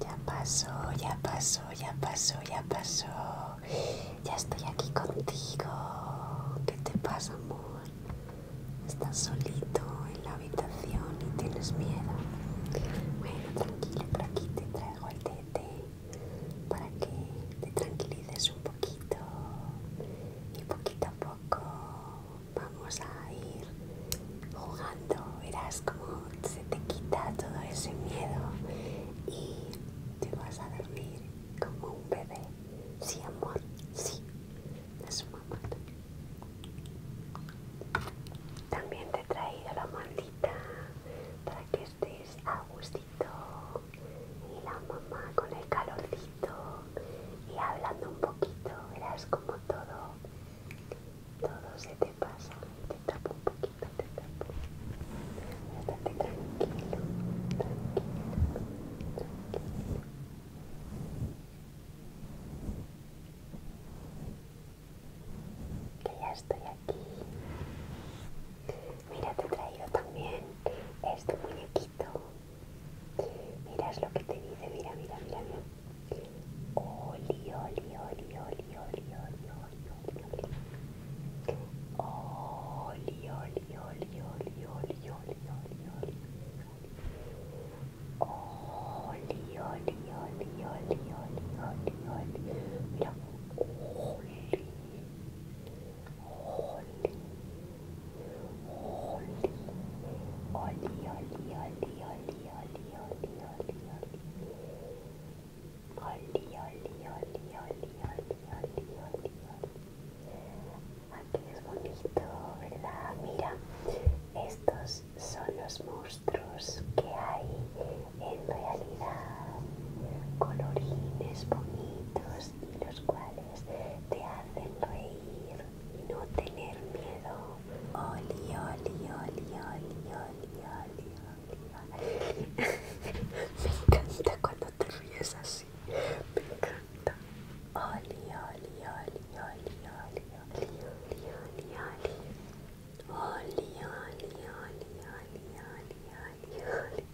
ya pasó, ya pasó, ya pasó, ya pasó. Ya estoy aquí contigo. ¿Qué te pasa, amor? Estás solito en la habitación y tienes miedo. Bueno, tranquilo, por aquí te traigo el tete para que te tranquilices un poquito y poquito a poco vamos a ir jugando, verás como se te quita todo ese miedo y te vas a dormir como un bebé. Sí, amor, sí, es su mamá. También te he traído la maldita para que estés a gustito y la mamá con el calorcito y hablando un poquito, verás como todo, todo se te pasa. Te tapo un poquito, te tapo. tranquilo, tranquilo, tranquilo. Que ya estoy aquí. Mira, te he traído también este muñequito Mirad lo que te dice, mira, mira, mira, mira. Oli, oli, oli, oli, oli, oli, oli, oli, oli. Oli, oli, oli, oli, oli, oli, oli, oli. Oli, oli, oli, oli, oli, oli, oli. Mira. Oli. Oli. Oli, oli, oli, oli, oli, oli, Aquí es bonito, Mira, estos son los monstruos que hay en realidad. Colorines bonitos, los cuales te hacen reír y no tener miedo. Oli, oli, oli, oli, oli, oli, oli. Me encanta cuando te ríes así. Me encanta. Oli, oli, oli, oli, oli, oli, oli, oli, oli. Oli, oli, oli, oli, oli, oli, oli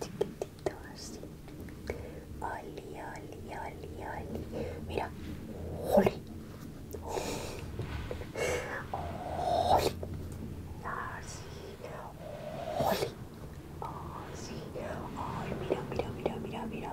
chiquitito así. Oli, oli, oli, oli. Mira, oli. Oli. Así. Oli. Así. oli, mira, mira, mira, mira, mira.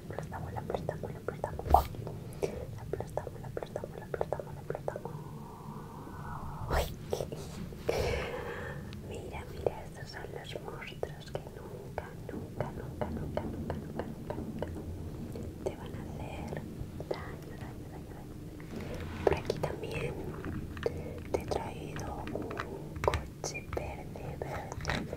aplastamos, aplastamos, aplastamos. aplastamos, la aplastamos, aplastamos, aplastamos. Mira, mira, estos son los monstruos que nunca, nunca, nunca, nunca, nunca, nunca, nunca, nunca te van a hacer daño, daño, daño, daño. Por aquí también te he traído un coche verde, verde.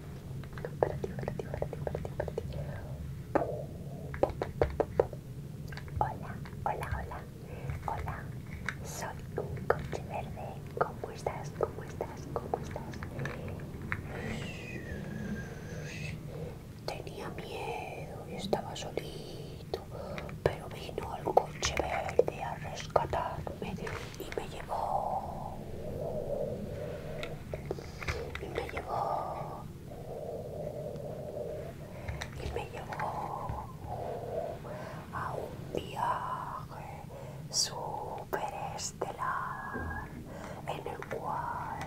para ti, para Hola, hola, hola, hola. Soy un coche verde. ¿Cómo estás? ¿Cómo estás? ¿Cómo estás? Tenía miedo y estaba solito, pero vino el coche verde a rescatarme y me llevó y me llevó y me llevó a un viaje superestelar en el cual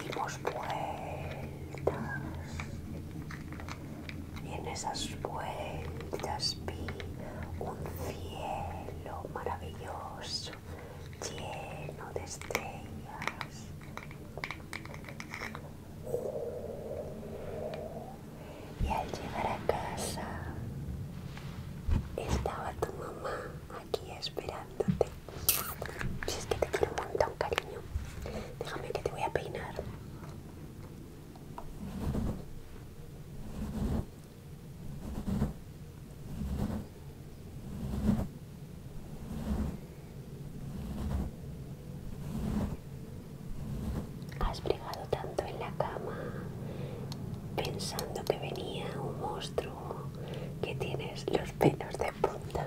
dimos vueltas y en esas vueltas vi un cielo maravilloso lleno de estrellas. Y al llegar a casa, estaba tu mamá aquí esperándote. Si es que te quiero un montón, cariño. Déjame que te voy a peinar. Has plegado tanto en la cama pensando que venía un monstruo que tienes los pelos de punta.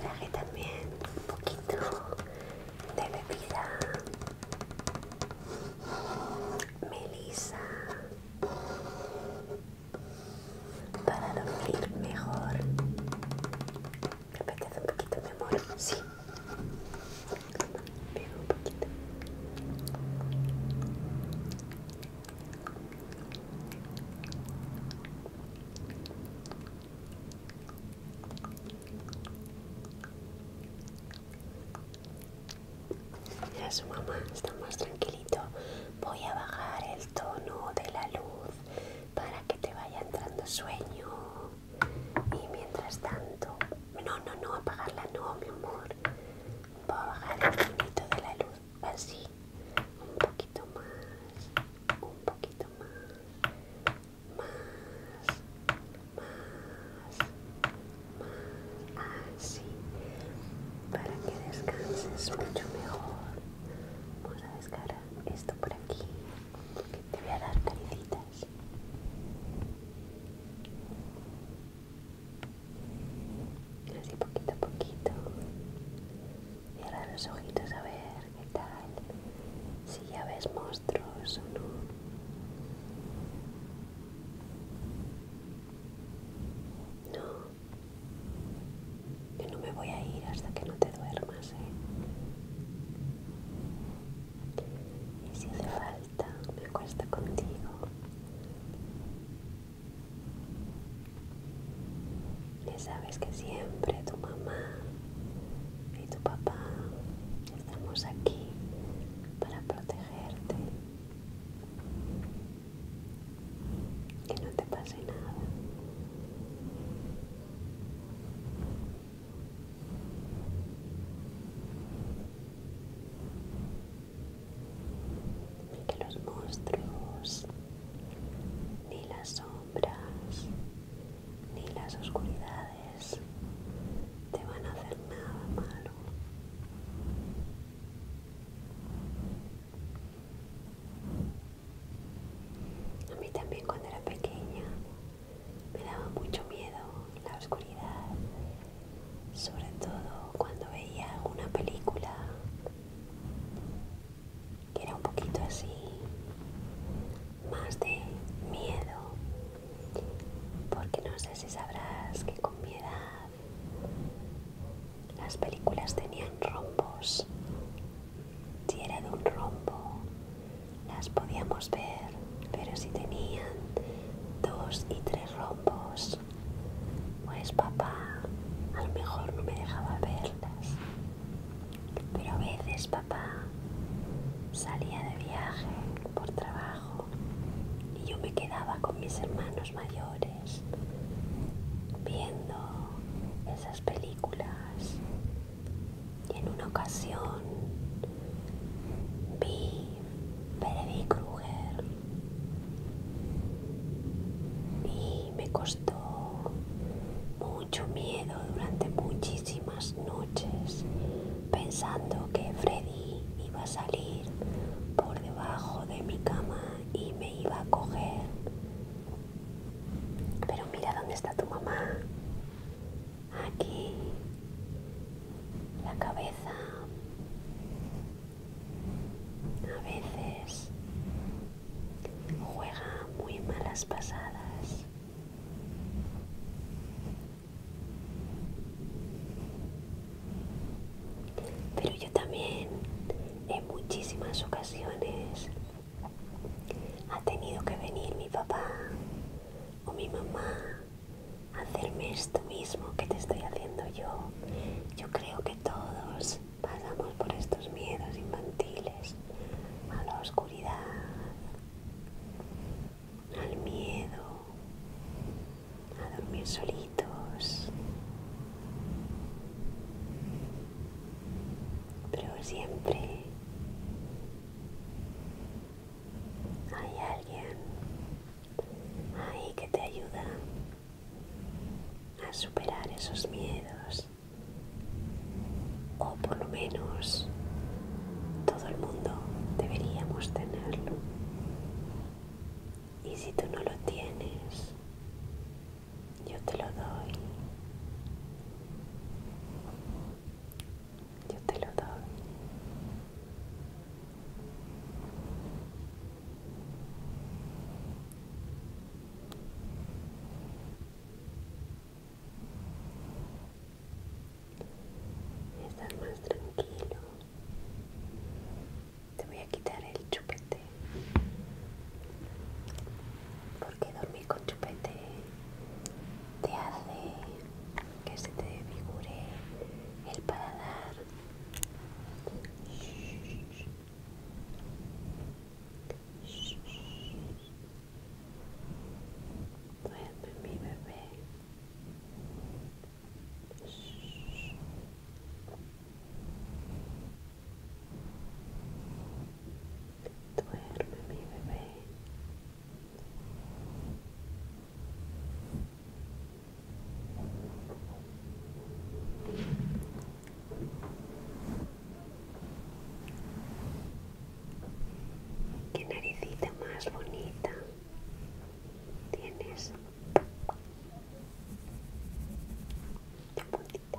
traje también un poquito de bebida melisa para dormir mejor me apetece un poquito mi amor sí un poquito ya su mamá está más tranquilito. Voy a bajar el tono de la luz para que te vaya entrando sueño. Y mientras tanto, no, no, no, apagarla, no, mi amor. Voy a bajar el tono de la luz así un poquito más un poquito más más más más así para que descanses mucho mejor vamos a descargar esto por aquí te voy a dar caricitas. así poquito a poquito Cierra los ojitos a ver qué tal. Si ya ves monstruos o no. No. Yo no me voy a ir hasta que no te duermas, ¿eh? Y si hace falta, me cuesta contigo. Ya sabes que siempre tu mamá y tu papá estamos aquí para protegerte. Que no te pase nada que los monstruos, ni las sombras, ni las oscuridades te van a hacer nada malo. A mí también cuando era pequeña me daba mucho miedo la oscuridad, sobre todo cuando veía alguna película era un poquito así, más de miedo, porque no sé si sabrás que con mi edad las películas tenían rombos. Si era de un rombo, las podíamos ver, pero si tenían dos y tres rombos, pues papá a lo mejor no me dejaba verlas. Pero a veces papá salía de viaje por trabajo y yo me quedaba con mis hermanos mayores viendo esas películas. Y en una ocasión vi Freddy Krueger y me costó mucho miedo durante muchísimas noches pensando que Freddy iba a salir por debajo de mi cama y me iba a coger. Pero mira dónde está tu mamá. Aquí. La cabeza a veces juega muy malas pasadas. Pero yo también en muchísimas ocasiones ha tenido que venir mi papá o mi mamá hacerme esto mismo que te estoy haciendo yo. Yo creo que todos pasamos por estos miedos infantiles, a la oscuridad, al miedo, a dormir solitos. Pero siempre hay alguien ahí que te ayuda a superar esos miedos. O por lo menos todo el mundo deberíamos tenerlo. Y si tú no lo tienes, yo te lo doy. Yo te lo doy. Estás más tranquilo. Te voy a quitar el chupete. Porque dormir con chupete te hace que se te figure el paladar. mi bebé. Duerme mi bebé. Duerme mi bebé. Qué naricita más bonita tienes. La bonita La bonita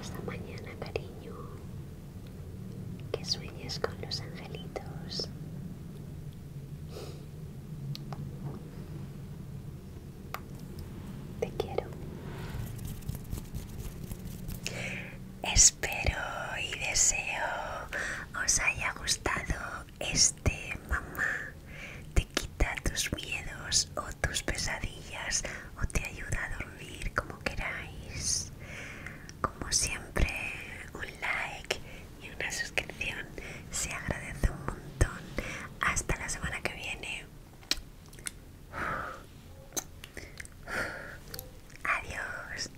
Esta mañana, cariño. Que sueñes con los angelitos. Te quiero. Espero y deseo os haya gustado este mamá te quita tus miedos o tus pesadillas o te ayuda a dormir como queráis. Como siempre, un like y una suscripción se agradece un montón. Hasta la semana que viene. Adiós.